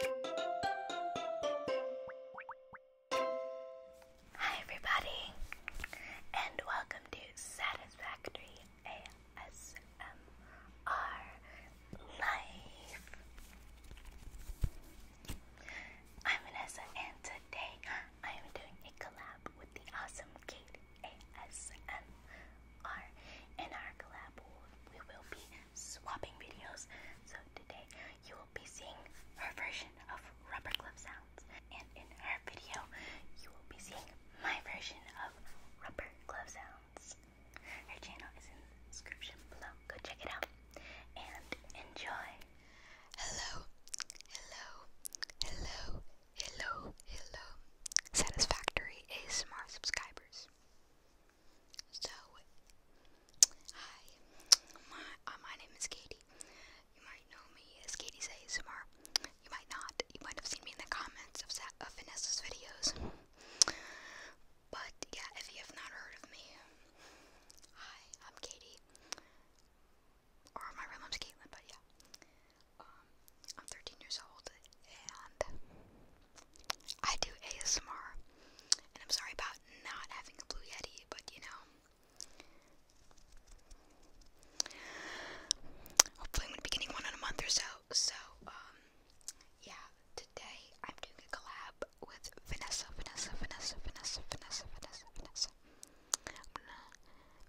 Hi, everybody, and welcome to Satisfactory ASMR Life. I'm Vanessa, and today I am doing a collab with the awesome Kate ASMR. In our collab, we will be swapping videos. So today you will be seeing her version of rubber glove sounds. And in her video, you will be seeing my version of rubber glove sounds. Her channel is in the description below. Go check it out and enjoy. Hello, hello, hello, hello, hello. Satisfactory ASMR subscribers. So, hi, my, uh, my name is Katie. You might know me as Katie Samar. You might not. You might have seen me in the comments of, Vanessa's videos. But yeah, if you have not heard of me, hi, I'm Katie. Or my real name's Caitlin, but yeah. Um, I'm 13 years old and I do ASMR. And I'm sorry about not having a Blue Yeti, but you know. Hopefully, I'm going to be getting one in a month or so. So, um, yeah, today I'm doing a collab with Vanessa, Vanessa, Vanessa, Vanessa, Vanessa, Vanessa, Vanessa.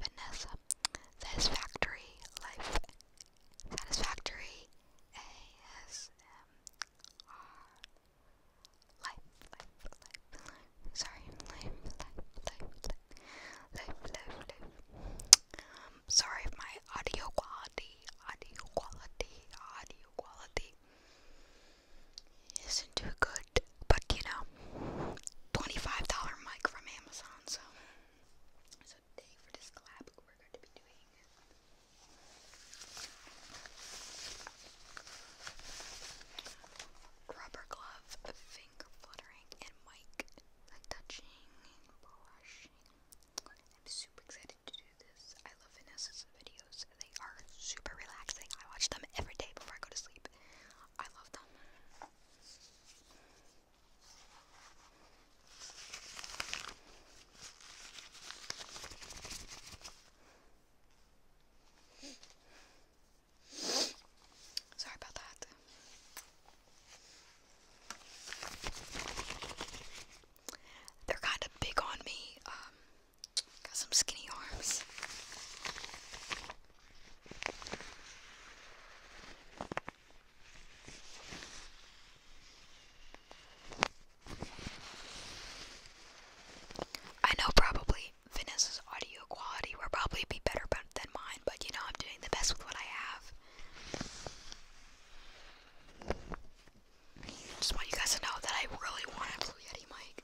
Vanessa. That is Factory Life satisfactory ASMR life, life, life, Sorry, life, life, life, life, life, life, um, sorry if my audio quality, audio quality, audio quality isn't too good, but you know, $25 mic from Amazon, so someday for this collab we're going to be doing. Rubber glove, finger fluttering, and mic touching I'm super excited to do this. I love Vanessa's videos. They are super relaxing. I watch them every day before I go to sleep. I love them. Sorry about that. They're kind of big on me. Um, got some skinny arms. I know probably Vanessa's audio quality will probably be better than mine, but you know, I'm doing the best with what I have. Just want you guys to know that I really want a Blue Yeti mic.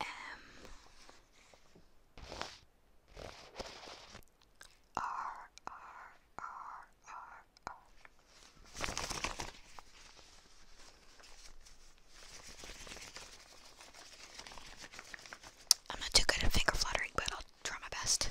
M R R R R R I'm not too good at finger fluttering, but I'll try my best.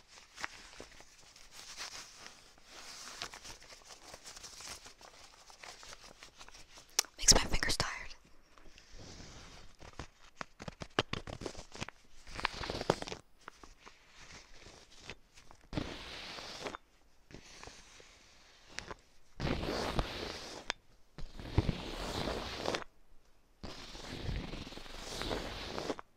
Makes my fingers tired.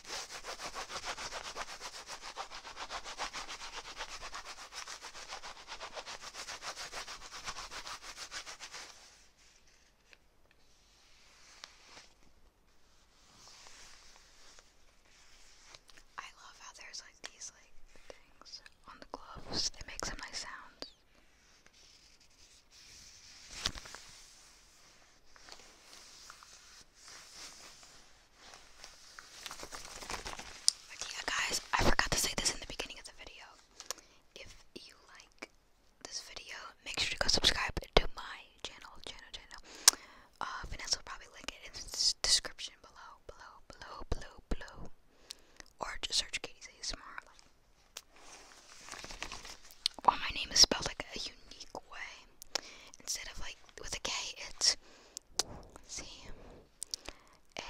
I love how there's like these like things on the gloves. They make some nice sounds. But yeah, guys, I forgot to say this in the beginning of the video. If you like this video, make sure to go subscribe to my channel, channel, channel. Uh, Vanessa will probably link it in the description below, below, below, below, below. Or just search Katie's ASMR. Like, well, my name is spelled like a unique way. Instead of like with a K, it's C A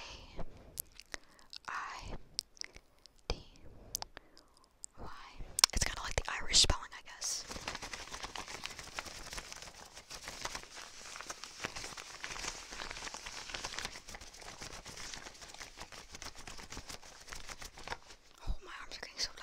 I D Y. It's kind of like the Irish spelling, I guess. Oh, my arms are getting so tired.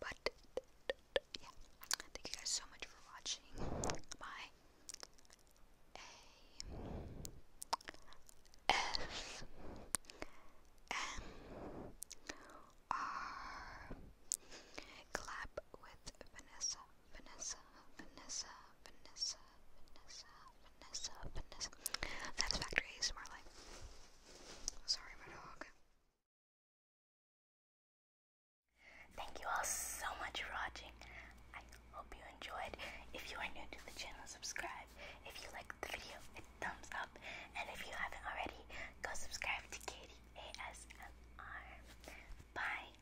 But yeah, thank you guys so much for watching my A S M R clap with Vanessa Vanessa, Vanessa, Vanessa, Vanessa, Vanessa, Vanessa. That's Factory ASMR Life. Sorry, my dog. Thank you all so much for watching. I hope you enjoyed. If you are new to the channel, subscribe. If you liked the video, hit thumbs up. And if you haven't already, go subscribe to Katie Bye.